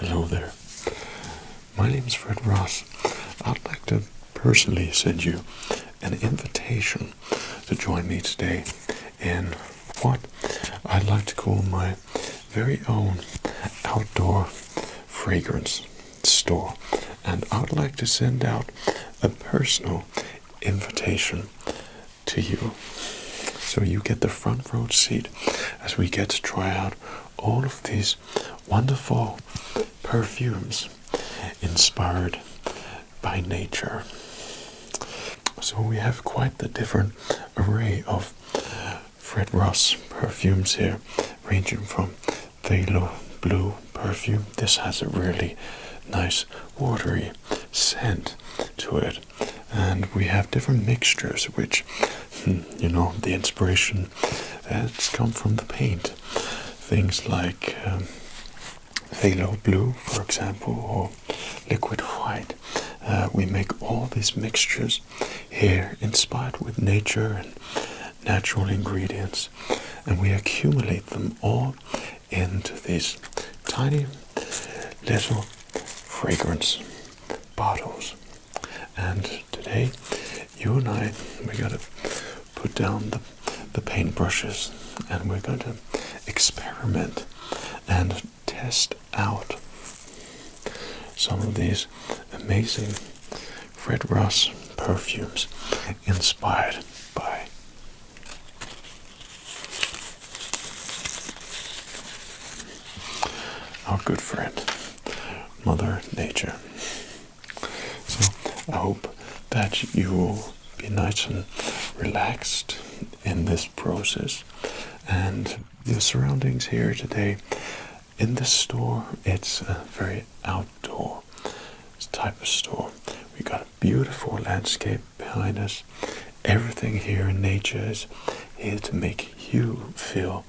Hello there. My name is Fred Ross. I'd like to personally send you an invitation to join me today in what I'd like to call my very own outdoor fragrance store. And I'd like to send out a personal invitation to you. So you get the front row seat as we get to try out all of these wonderful perfumes inspired by nature. So we have quite a different array of Fred Ross perfumes here, ranging from Thalo Blue perfume. This has a really nice watery scent to it, and we have different mixtures, which hmm, you know the inspiration has uh, come from the paint. Things like um, phthalo blue, for example, or liquid white. Uh, we make all these mixtures here, inspired with nature and natural ingredients, and we accumulate them all into these tiny little fragrance bottles. And today, you and I, we're gonna put down the the paintbrushes and we're going to experiment and test out some of these amazing Fred Ross perfumes inspired by our good friend Mother Nature. So I hope that you will be nice and relaxed in this process. And the surroundings here today in this store, it's a very outdoor type of store. We have got a beautiful landscape behind us. Everything here in nature is here to make you feel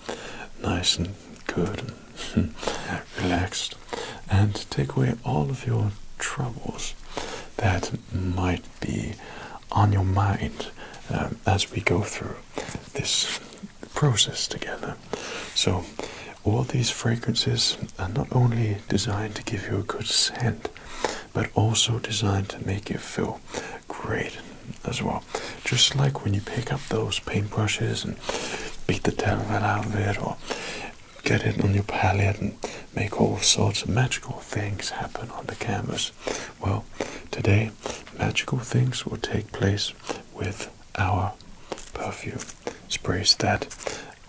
nice and good and relaxed and take away all of your troubles that might be on your mind um, as we go through this process together. So, all these fragrances are not only designed to give you a good scent, but also designed to make you feel great as well. Just like when you pick up those paintbrushes and beat the devil out of it, or get it on your palette and make all sorts of magical things happen on the canvas. Well, today magical things will take place with our perfume sprays that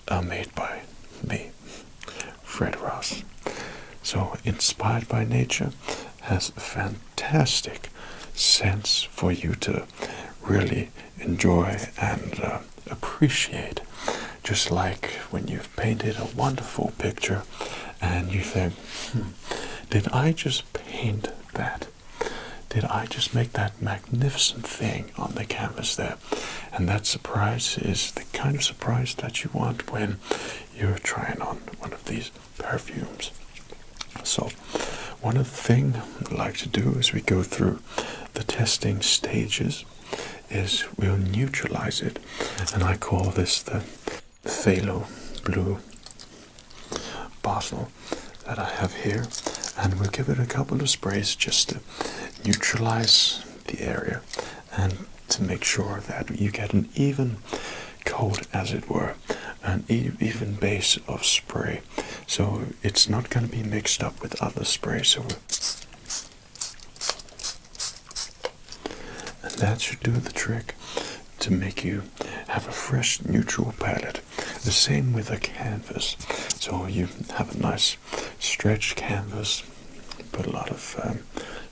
are made by me, Fred Ross. So inspired by nature has a fantastic sense for you to really enjoy and uh, appreciate. Just like when you've painted a wonderful picture and you think, hmm, did I just paint that? Did I just make that magnificent thing on the canvas there? And that surprise is the kind of surprise that you want when you're trying on one of these perfumes. So, one of the things I like to do as we go through the testing stages is we'll neutralize it, and I call this the phthalo blue bottle that I have here, and we'll give it a couple of sprays just to neutralize the area and to make sure that you get an even coat, as it were, an even base of spray. So it's not going to be mixed up with other sprays. And that should do the trick to make you have a fresh neutral palette. The same with a canvas. So you have a nice stretched canvas, put a lot of um,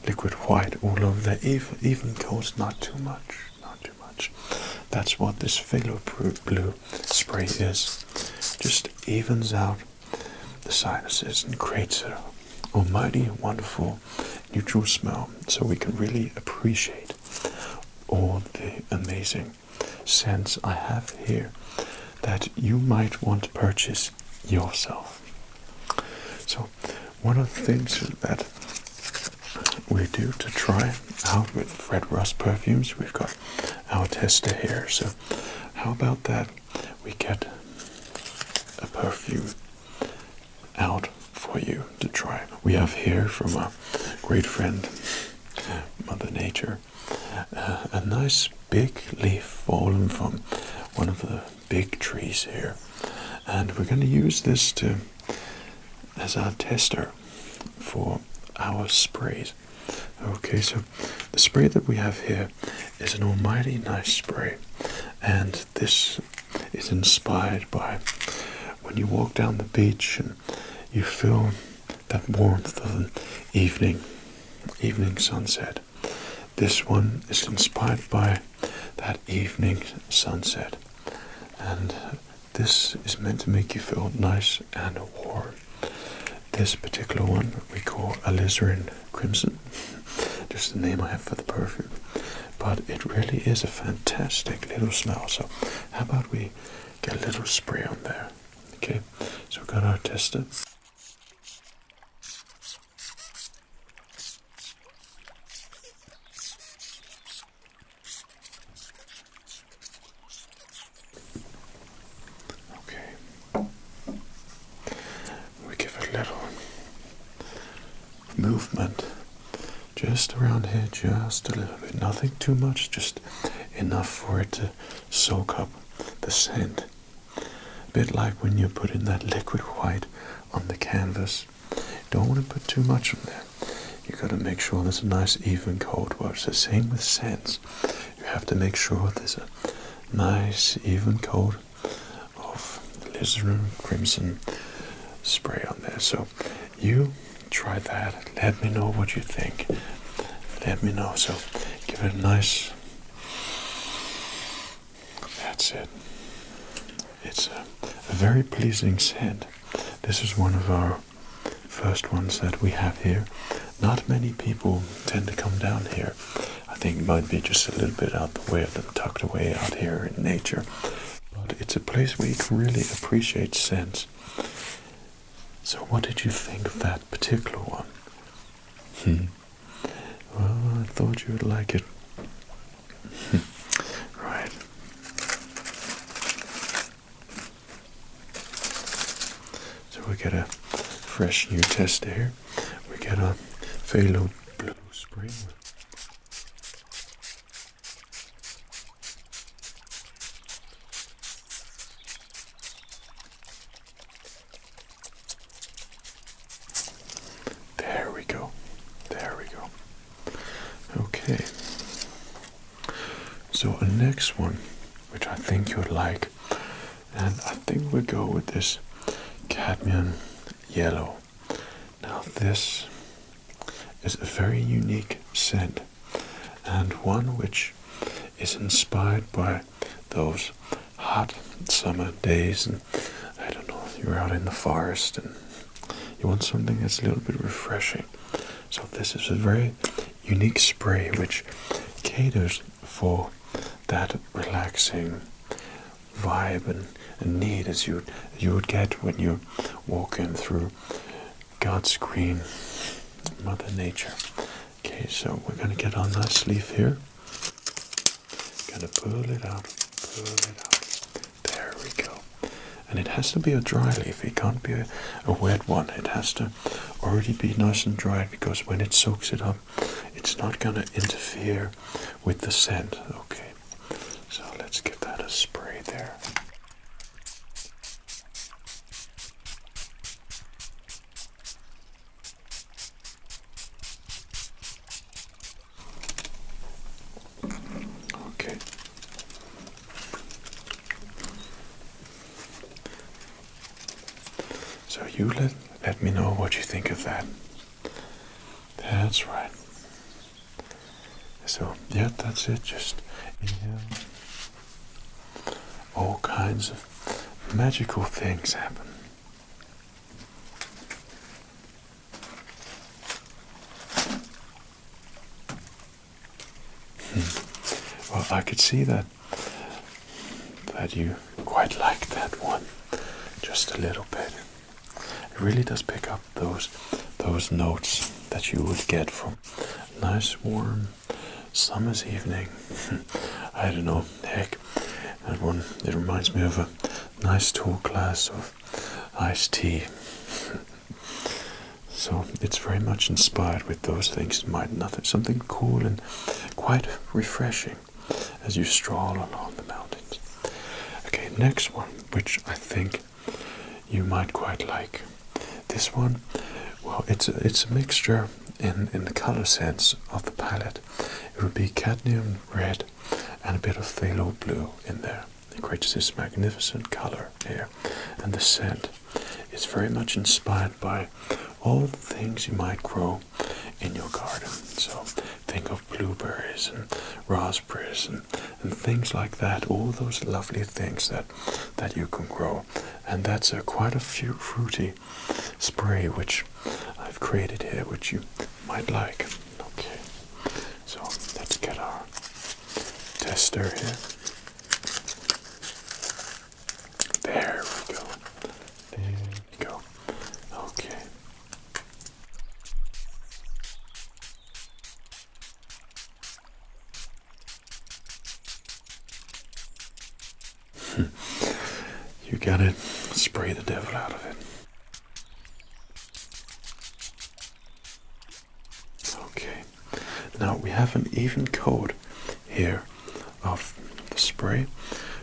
liquid white all over there, even, even coats, not too much, not too much. That's what this phthalo blue spray is. Just evens out the sinuses and creates an almighty, wonderful, neutral smell. So we can really appreciate all the amazing scents I have here that you might want to purchase yourself. So, one of the things that we do to try out with Fred Rust perfumes, we've got our tester here. So, how about that? We get a perfume out for you to try. We have here from a great friend, Mother Nature, a nice big leaf fallen from one of the big trees here. And we're going to use this to as our tester for our sprays. Okay, so the spray that we have here is an almighty nice spray, and this is inspired by when you walk down the beach and you feel that warmth of an evening, evening sunset. This one is inspired by that evening sunset, and this is meant to make you feel nice and warm. This particular one we call alizarin crimson, just the name I have for the perfume. But it really is a fantastic little smell. So how about we get a little spray on there? Okay, so we've got our tester. Okay. We give a little movement just around here, just a little bit. Nothing too much, just enough for it to soak up the scent. A bit like when you put in that liquid white on the canvas. Don't want to put too much on there. You have gotta make sure there's a nice even coat wash. The same with scents you have to make sure there's a nice even coat of alizarin crimson spray on there. So you try that. Let me know what you think. Let me know. So give it a nice. That's it. It's a very pleasing scent. This is one of our First ones that we have here. Not many people tend to come down here. I think it might be just a little bit out the way of them, tucked away out here in nature. But it's a place where you can really appreciate scents. So, what did you think of that particular one? Hmm. Well, I thought you would like it. right. So we get a fresh new tester here. We get a Phalo Blue Spring. There we go. There we go. Okay. So the next one, which I think you'd like, and I think we'll go with this cadmium yellow. Now this is a very unique scent and one which is inspired by those hot summer days and I don't know you're out in the forest and you want something that's a little bit refreshing. So this is a very unique spray which caters for that relaxing vibe and, need as you you would get when you walk in through God's green Mother Nature. Okay, so we're gonna get on nice leaf here. Gonna pull it out, There we go. And it has to be a dry leaf. It can't be a wet one. It has to already be nice and dried because when it soaks it up, it's not going to interfere with the scent. Okay, so let's give that a spray there. Okay, so you let, let me know what you think of that. That's right. So yeah, that's it. Just inhale. All kinds of magical things happen. Hmm. Well, I could see that that you quite like that one, just a little bit. It really does pick up those those notes that you would get from nice warm summer's evening. I don't know. Heck, that one. It reminds me of a nice tall glass of iced tea. So it's very much inspired with those things might Nothing, something cool and quite refreshing as you stroll along the mountains. Okay, next one, which I think you might quite like. This one, well, it's a, it's a mixture in in the color sense of the palette. It would be cadmium red and a bit of phthalo blue in there. It creates this magnificent color here and the scent is very much inspired by all the things you might grow in your garden. So think of blueberries and raspberries and, things like that, all those lovely things that that you can grow. And that's a quite a fruity spray which I've created here which you might like. Okay. So let's get our tester here. There we go. There we go. Okay. you got it. Spray the devil out of it. Okay, now we have an even coat here of the spray.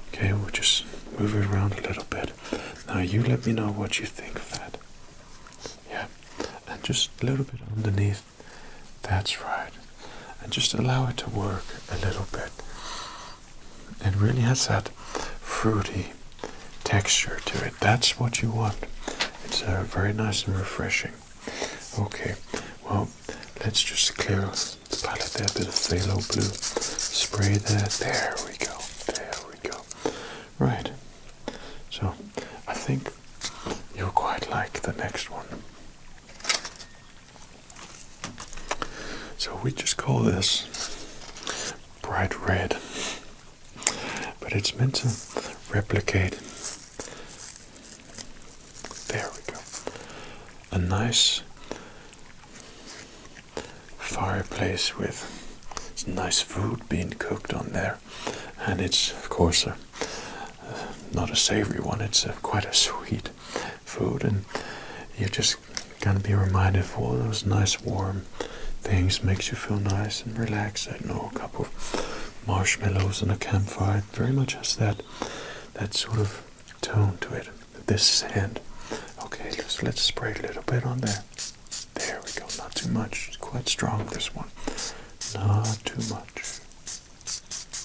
Okay, we'll just move it around a little bit. Now you let me know what you think of that. Yeah, and just a little bit underneath. That's right. And just allow it to work a little bit. It really has that fruity texture to it. That's what you want. It's very nice and refreshing. Okay, well, let's just clear the palette there, a bit of phthalo blue spray there. There we go, there we go. Right, so I think you'll quite like the next one. So we just call this bright red, but it's meant to replicate there we go. A nice fireplace with nice food being cooked on there, and it's of course a, uh, not a savory one. It's quite a sweet food, and you just gonna be reminded of all those nice warm things. Makes you feel nice and relaxed. I know a cup marshmallows and a campfire. very much has that that sort of tone to it. This sand. Okay, let's let's spray a little bit on there. There we go. Not too much. quite strong this one. Not too much.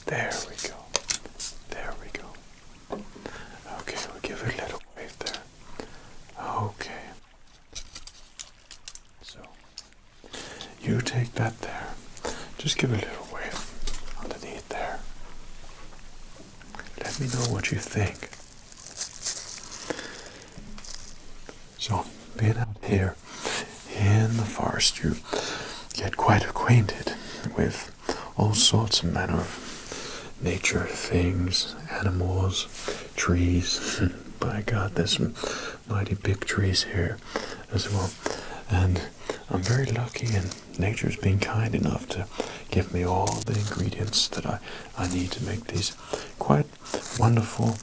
There we go. There we go. Okay, we'll give it a little wave there. Okay. So you take that there. Just give a little wave underneath there. Let me know what you think. So, being out here in the forest, you get quite acquainted with all sorts of manner of nature things, animals, trees. By God, there's mighty big trees here as well. And I'm very lucky, and nature's been kind enough to give me all the ingredients that I, I need to make these quite wonderful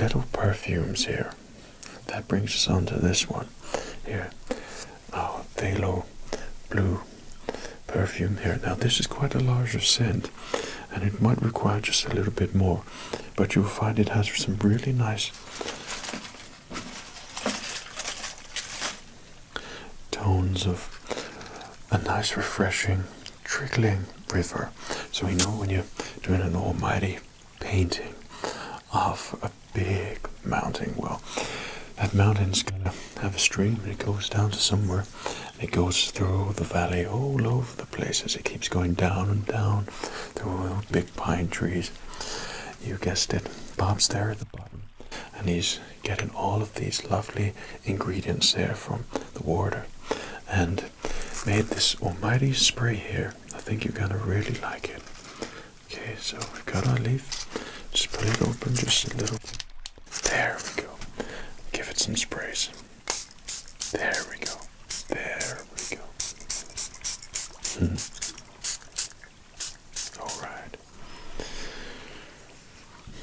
little perfumes here. That brings us on to this one here our Thalo Blue perfume here. Now, this is quite a larger scent and it might require just a little bit more but you'll find it has some really nice tones of a nice, refreshing, trickling river. So we know when you're doing an almighty painting of a big mountain, well, that mountain's gonna have a stream and it goes down to somewhere it goes through the valley all over the places it keeps going down and down through big pine trees you guessed it bob's there at the bottom and he's getting all of these lovely ingredients there from the water and made this almighty spray here i think you're gonna really like it okay so we have got our leaf just put it open just a little there we go give it some sprays there we go. There we go. Hmm. All right.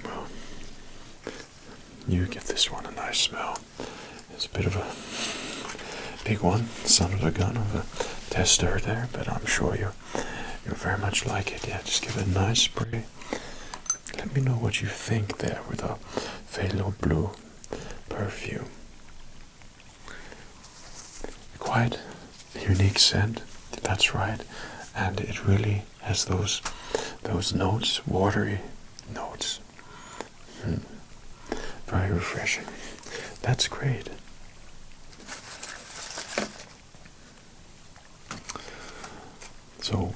Well, you give this one a nice smell. It's a bit of a big one. of a gun of a tester there, but I'm sure you are you are very much like it. Yeah, just give it a nice spray. Let me know what you think there with a phthalo blue perfume. Quite unique scent, that's right, and it really has those those notes, watery notes. Hmm. Very refreshing. That's great. So,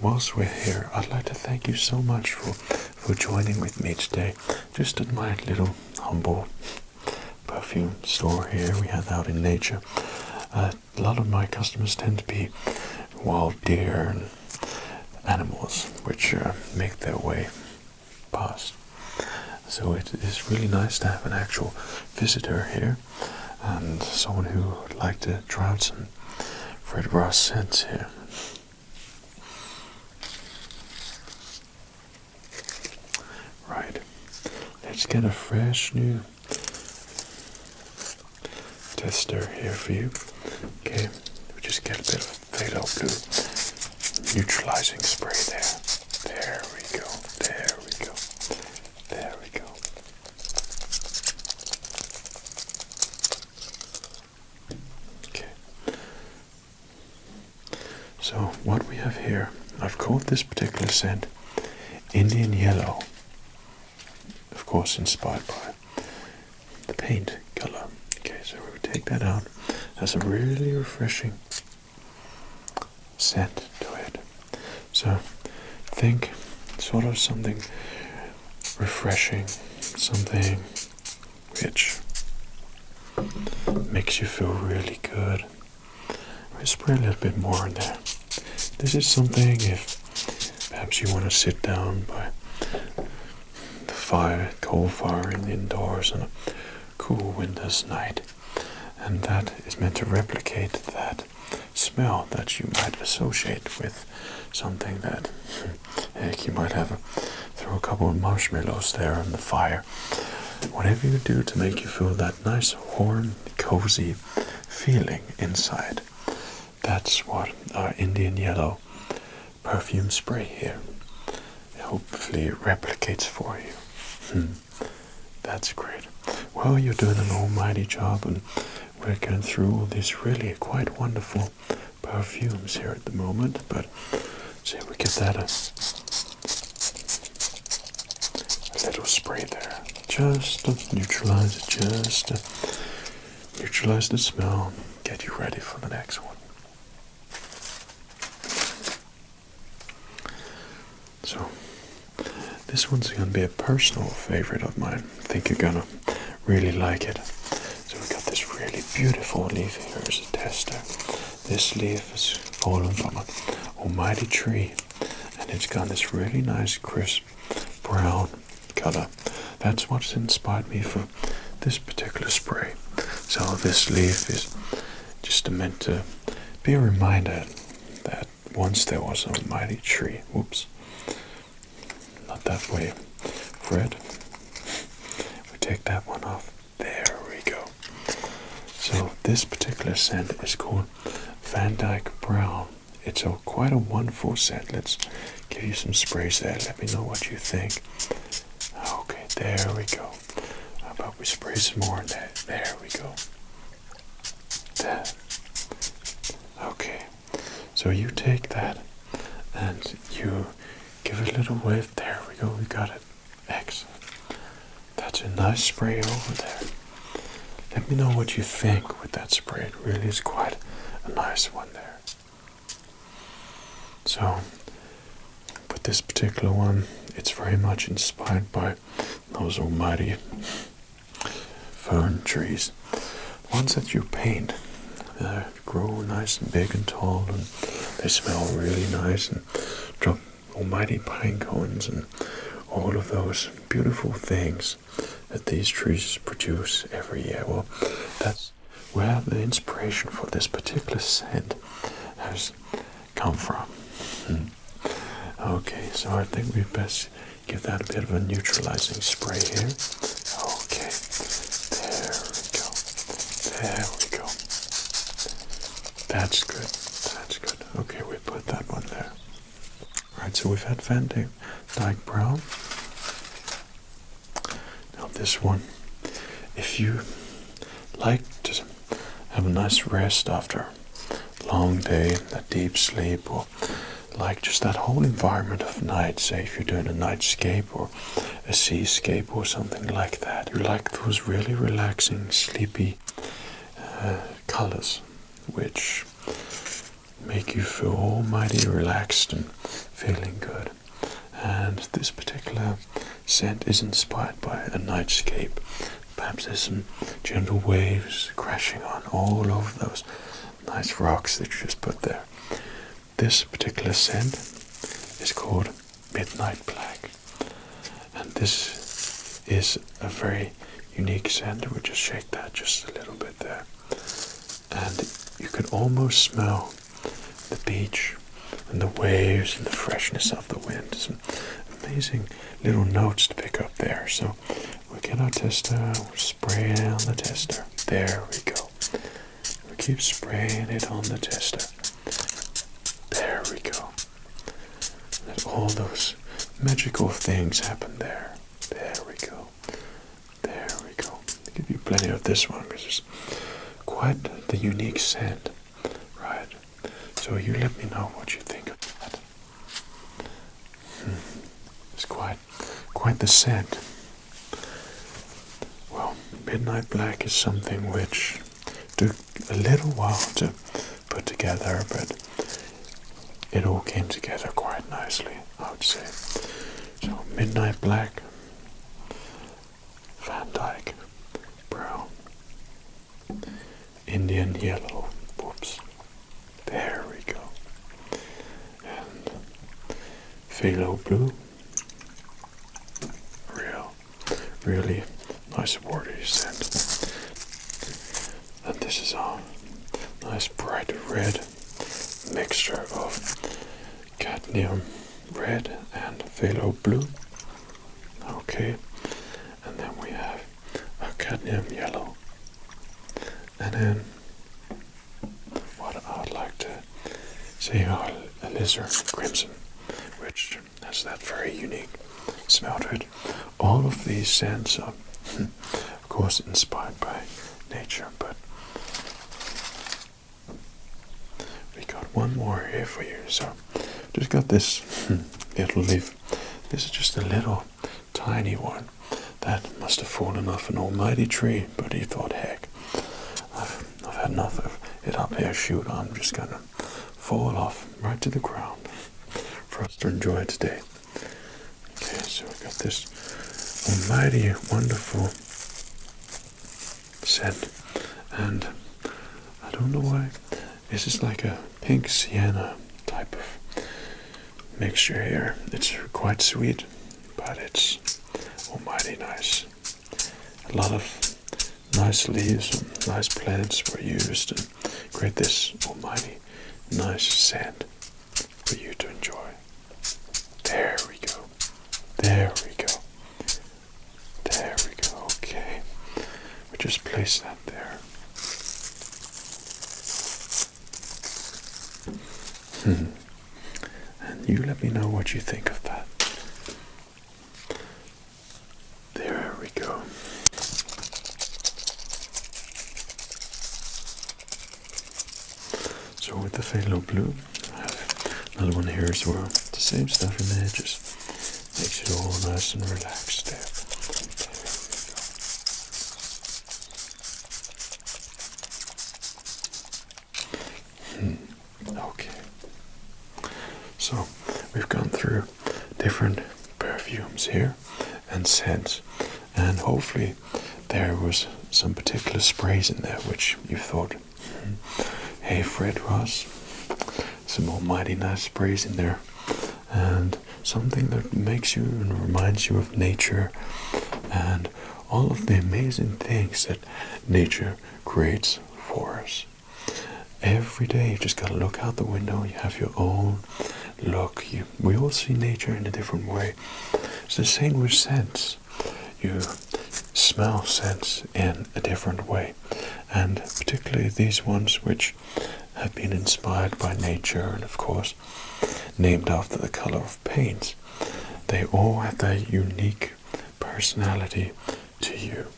whilst we're here, I'd like to thank you so much for for joining with me today, just at my little humble perfume store here we have out in nature. Uh, a lot of my customers tend to be wild deer and animals, which uh, make their way past. So it is really nice to have an actual visitor here and someone who would like to try out some Fred Ross sends to. Right, let's get a fresh new tester here for you. Okay, we just get a bit of fatal blue neutralizing spray there. There we go, there we go, there we go. Okay. So what we have here, I've called this particular scent Indian Yellow. Of course inspired by the paint color. Okay, so we would take that out. That's a really refreshing scent to it. So think sort of something refreshing, something which makes you feel really good. We spread a little bit more in there. This is something if perhaps you want to sit down by the fire, coal fire in the indoors on a cool winter's night. And that is meant to replicate that smell that you might associate with something that heck you might have throw a couple of marshmallows there on the fire whatever you do to make you feel that nice warm cozy feeling inside that's what our indian yellow perfume spray here hopefully replicates for you that's great well you're doing an almighty job and we're going through all these really quite wonderful perfumes here at the moment, but see if we get that a little spray there, just to neutralize it, just to neutralize the smell, get you ready for the next one. So, this one's going to be a personal favorite of mine think you're gonna really like it. So we got this really beautiful leaf here as a tester. This leaf has fallen from an almighty tree, and it's got this really nice crisp brown color. That's what's inspired me for this particular spray. So this leaf is just meant to be a reminder that once there was a mighty tree. Whoops. Not that way, Fred. We take that one off. There we go. So this particular scent is called Van Dyke Brown. It's quite a wonderful scent. Let's give you some sprays there. Let me know what you think. Okay, there we go. How about we spray some more in that? There we go. That. Okay. So you take that and you give a little wave. There we go, we got it. Excellent. That's a nice spray over there. Let me know what you think with that spray. It really is quite a nice one there. So, with this particular one, it's very much inspired by those almighty fern trees. Ones that you paint grow nice and big and tall, and they smell really nice, and drop almighty pine cones and all of those beautiful things that these trees produce every year. Well, that's where the inspiration for this particular scent has come from. Hmm. Okay, so I think we best give that a bit of a neutralizing spray here. Okay, there we go. There we go. That's good. That's good. Okay, we put that one there. Right. so we've had Van Dyke Brown. Now this one, if you like to have a nice rest after long day, a deep sleep, or like just that whole environment of night, say if you're doing a nightscape or a seascape or something like that. You like those really relaxing, sleepy uh, colors, which make you feel all mighty relaxed and feeling good. And this particular scent is inspired by a nightscape. Perhaps there's some gentle waves crashing on all of those nice rocks that you just put there. This particular sand is called Midnight Black, and this is a very unique sand. We'll just shake that just a little bit there, and you can almost smell the beach and the waves and the freshness of the wind. Some amazing little notes to pick up there. So we get our tester, we're spraying on the tester. There we go. We keep spraying it on the tester. There we go. And all those magical things happen there. There we go. There we go. give you plenty of this one because it's quite the unique scent. Right. So you let me know what you think of that. It's quite, quite the set. Well, midnight black is something which took a little while to put together, but it all came together quite nicely, I would say. So, midnight black, Van Dyke, brown, Indian yellow. Whoops. There we go. And phthalo blue. Real, really nice waters and, and this is a nice bright red mixture of cadmium red and phthalo blue. Okay, and then we have a cadmium yellow. And then what I would like to see how a lizard crimson, which has that very unique smell to it. All of these scents are, hmm, of course, inspired by nature, but we got one more here for you. So, just got this hmm, little leaf. This is just a little tiny one that must have fallen off an almighty tree, but he thought, heck, I've, had enough of it up here, shoot, I'm just gonna fall off right to the ground for us to enjoy today. Okay, so we've got this almighty, wonderful scent, and I don't know why this is like a pink sienna type of mixture here. It's quite sweet, but it's almighty nice. A lot of nice leaves and nice plants were used to create this almighty nice scent for you to enjoy. There we go. There we go. There we go. Okay we just place that there. Hmm. And you let me know what you think of that. There we go. So with the phthalo blue, another one here as well. the same stuff in there, just makes it all nice and relaxed there Hmm, okay. So we've gone through different perfumes here and scents, and hopefully there was some particular sprays in there which you thought, hmm, hey, Fred Ross, some almighty nice sprays in there and something that makes you and reminds you of nature and all of the amazing things that nature creates for us. Every day you just gotta look out the window, you have your own look. we all see nature in a different way. It's the same with scents. You smell scents in a different way. And particularly these ones which have been inspired by nature and, of course, named after the color of paints. They all have their unique personality to you,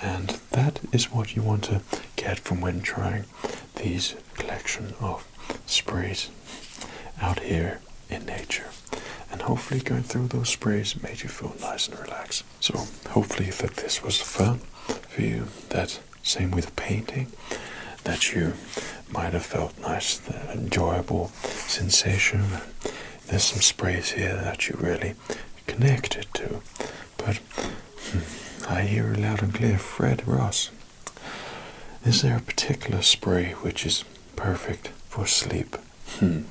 and that is what you want to get from when trying these collection of sprays out here in nature. And hopefully going through those sprays made you feel nice and relaxed. So hopefully that this was fun for you, that same with painting, that you might have felt nice, enjoyable sensation. There's some sprays here that you really connected to. But hmm, I hear loud and clear, Fred Ross. Is there a particular spray which is perfect for sleep? Hmm.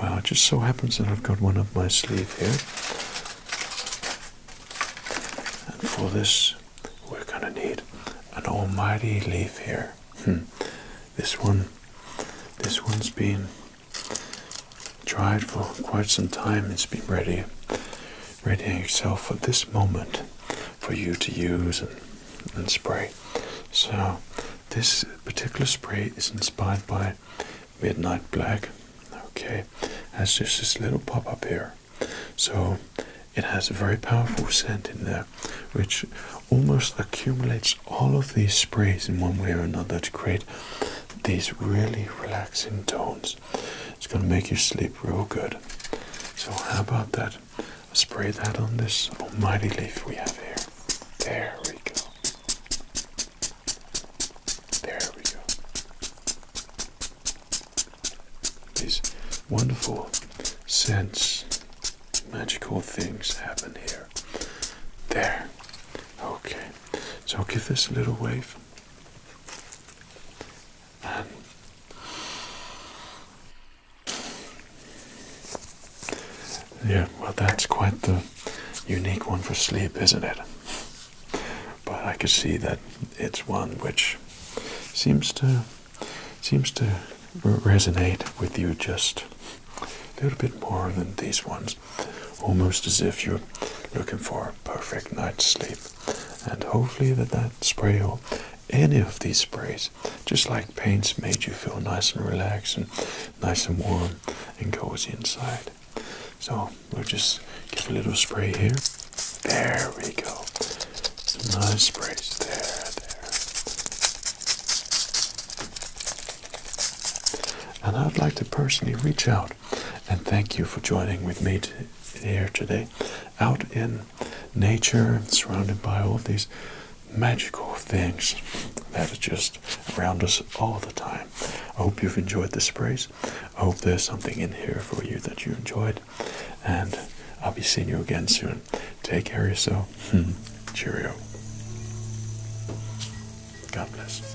Well, it just so happens that I've got one up my sleeve here. And for this, we're gonna need an almighty leaf here. Hmm. This one, this one's been dried for quite some time. It's been ready, readying itself for this moment for you to use and spray. So, this particular spray is inspired by midnight black okay has just this little pop-up here so it has a very powerful scent in there which almost accumulates all of these sprays in one way or another to create these really relaxing tones it's gonna make you sleep real good so how about that spray that on this almighty leaf we have here there we go there we go. These wonderful sense, magical things happen here. There. Okay. So I'll give this a little wave. yeah, well, that's quite the unique one for sleep, isn't it? But I could see that it's one which seems to seems to resonate with you just a little bit more than these ones, almost as if you're looking for a perfect night's sleep. And hopefully that that spray or any of these sprays, just like paints, made you feel nice and relaxed and nice and warm and cozy inside. So We'll just give a little spray here. There we go. Some nice sprays. There, there. And I'd like to personally reach out and thank you for joining with me here today out in nature surrounded by all these magical things that are just around us all the time. I hope you've enjoyed the praise I hope there's something in here for you that you enjoyed, and I'll be seeing you again soon. Take care of yourself. Hmm. Cheerio. God bless.